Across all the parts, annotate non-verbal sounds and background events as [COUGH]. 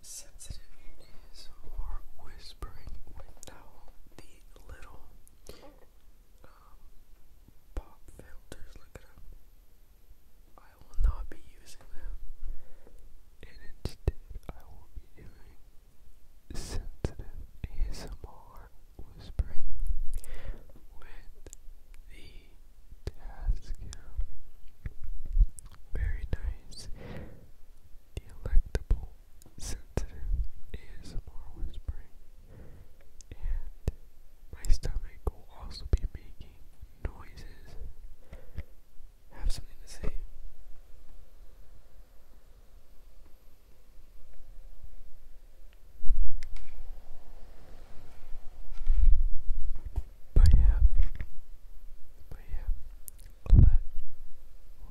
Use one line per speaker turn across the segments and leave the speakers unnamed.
Sensitive is more whispering without the little um, pop filters. Look at them. I will not be using them, instead I will be doing sensitive ASMR whispering with the task very nice, delectable, sensitive ASMR whispering, and my stomach will also be making noises. Have something to say. But yeah, but yeah, let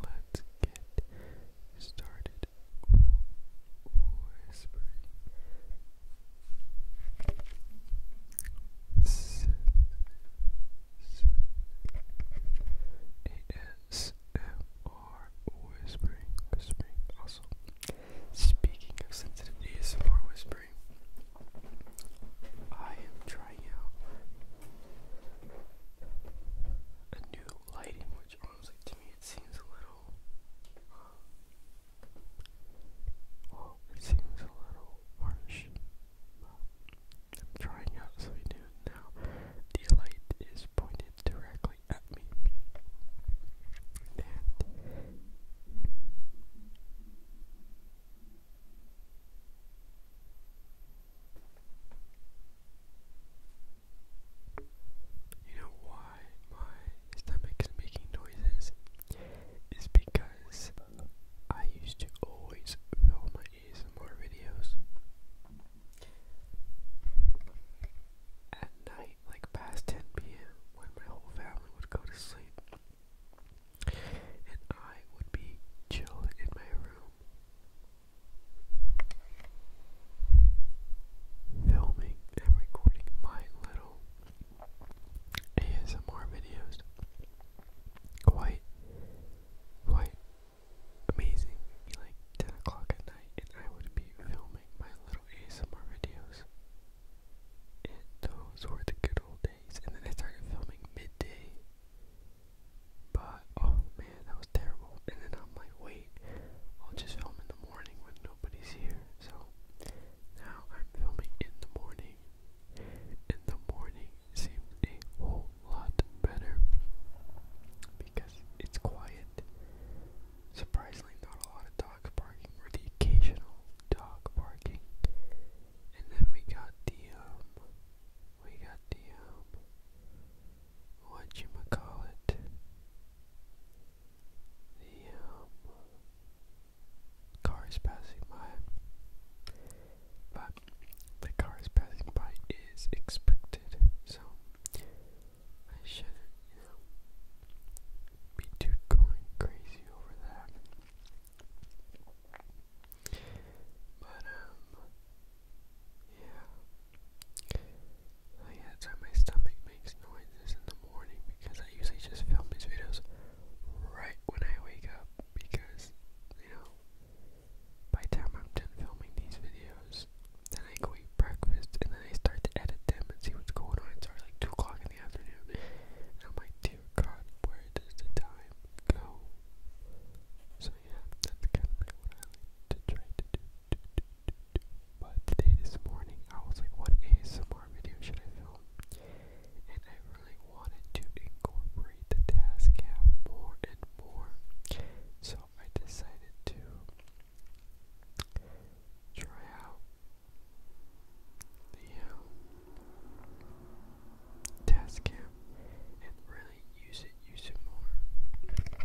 let's get started whispering. whispering, whispering. Also, speaking of sensitive ASMR whispering. I am trying out a new lighting, which to me it seems a little. Well, it seems a little harsh. I'm trying out something new now. The light is pointed
directly at me. And you know why my stomach is making noises? It's because I used to always film my ASMR videos at night, like past 10 p.m., when my whole family would go to sleep and I would be chill in my room filming and recording my little ASMR videos. Quite quite amazing. like ten o'clock at night and I would be filming my little ASMR videos. And those were the good old days and then I started filming midday. But oh man, that was terrible. And then I'm like, wait, I'll just film in the morning when nobody's here. So now I'm filming in the morning. In the morning seems a whole lot better because it's quiet. Surprisingly, not a lot of dogs barking, or the occasional dog barking. And then we got the um we got the um what you call it the um cars passing by but the cars passing by is expected so I shouldn't you know be too going crazy over that but, um, yeah. Oh, yeah, that's why my stomach makes noises in the morning because I usually just film these videos right when I wake up because, you know, by the time I'm done filming these videos, then I go eat breakfast and then I start to edit them and see what's going on. It's already like 2 o'clock in the afternoon. And I'm like, dude, God, where does the time go? So yeah, that's kind of what I like to try to do. But today, this morning, I was like, what ASMR video should I film? And I really wanted to incorporate the task app more and more. So I decided to try out the um, task and really use it, use it more.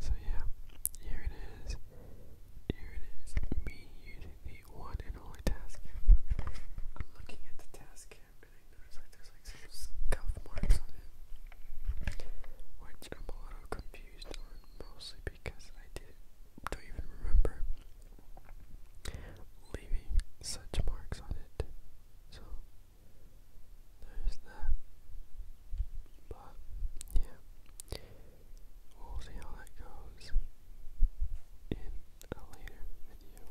So yeah, here it is. Here it is. Me using the one and only task. I'm looking at the task can't really there's like scuff marks on it. Which I'm a little confused on mostly because I did not even remember leaving such marks on it. So there's that. But yeah. We'll see how that goes in a later video.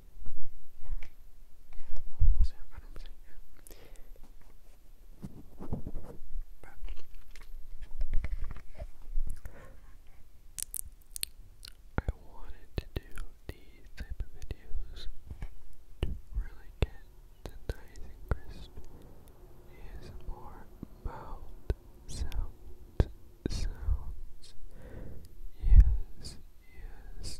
We'll I wanted to do these type of videos to really get the nice and crisp ASMR mouth sounds, sounds, yes, yes,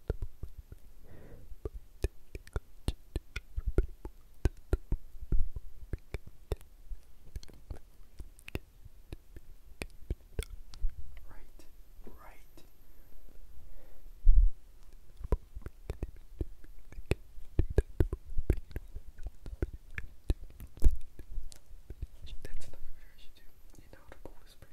Right, right. That's another video I should do. Inaudible whispering.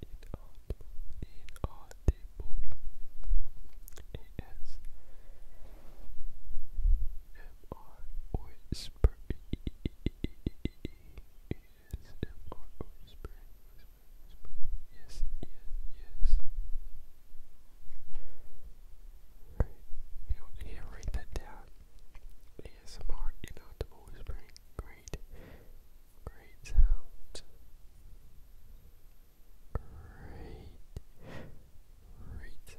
inaudible. ASMR
whisper. ASMR whisper. Yes, yes, yes. Right. You write that down. ASMR inaudible whispering. Great. Great sound. Great, great sound.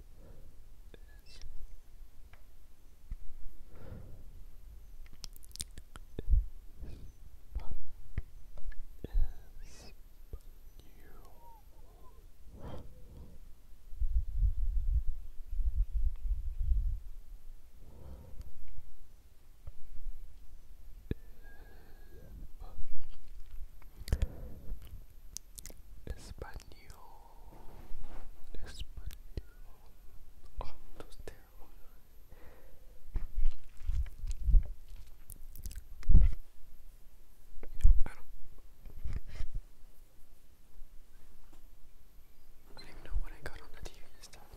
Espanol Espanol. You I don't even know what I got on the TV this time.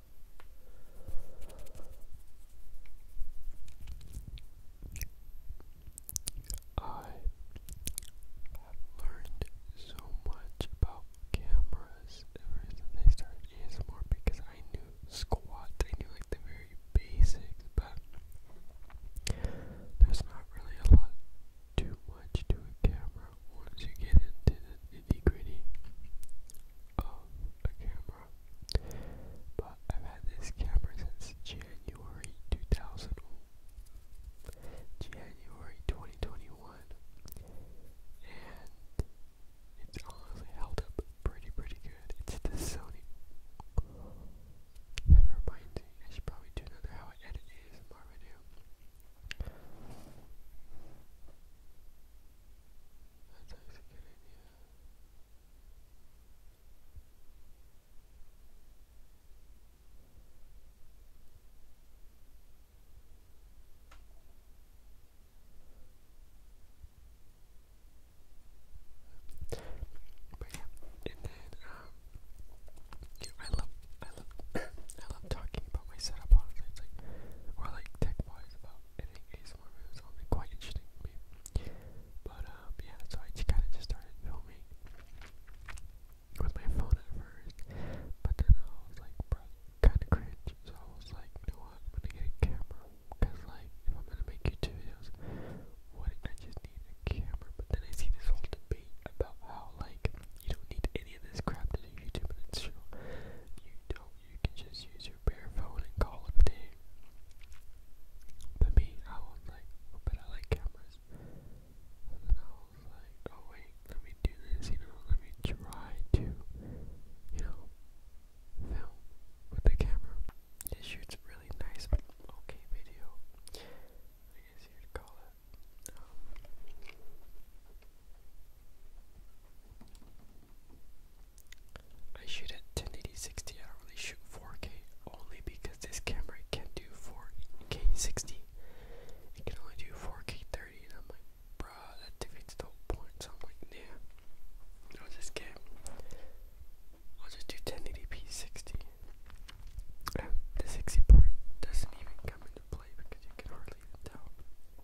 I have learned so much about cameras ever since I started ASMR because I knew squats, I knew like the very basics, but there's not really a lot too much to a camera once you get into the nitty gritty of a camera. But I've had this camera since January 2000, January 2021, and it's honestly held up pretty, pretty good. It's the Sony. That reminds me, I should probably do another how I edit ASMR video. But yeah, and then um, I love, I love, I love talking about my setup. Honestly, it's like, or like tech-wise about I think quite interesting But um, yeah, so I kind of just started filming with my phone at first, but then I was like, kind of cringe. So I was like, you know what? I'm gonna get a camera because, like, if I'm gonna make YouTube videos, what I just need a camera. But then I see this whole debate about how, like, you don't need any of this crap to do YouTube, and it's true. You don't you can just use your bare phone and call it a day. But me, I was like, oh, but I like cameras. And I was like, oh wait, let me do this, you know, let me try to, you know, film with the camera. It shoots really nice, okay video. I guess you could call it. Um, I shoot at 1080-60, I don't really shoot 4K only because this camera can't do 4K60.
It can only do 4K30 and I'm like, bruh, that defeats the whole point. So I'm like, nah, no this game. I'll just do 1080p 60. the 60 part doesn't even come into play because you can hardly even tell.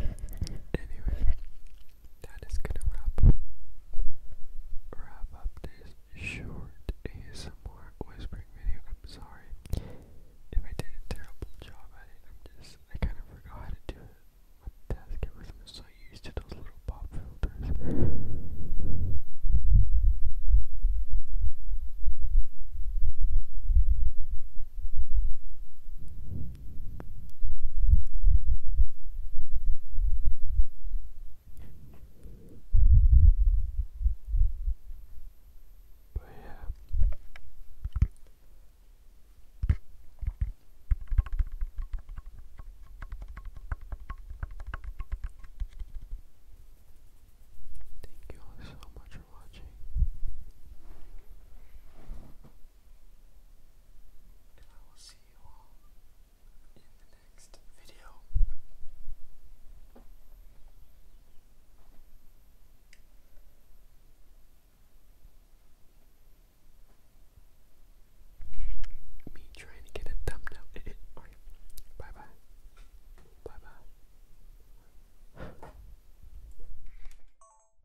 Anyway, that is gonna wrap wrap up this short ASMR whispering video. I'm sorry if I did a terrible job at it. I'm just I kind of forgot to do it. My desk was I'm so used to those little pop filters. But yeah. Thank you all so much for watching. And I will see you all in the next video. Me trying to get a thumbnail. [LAUGHS] bye bye. Bye bye.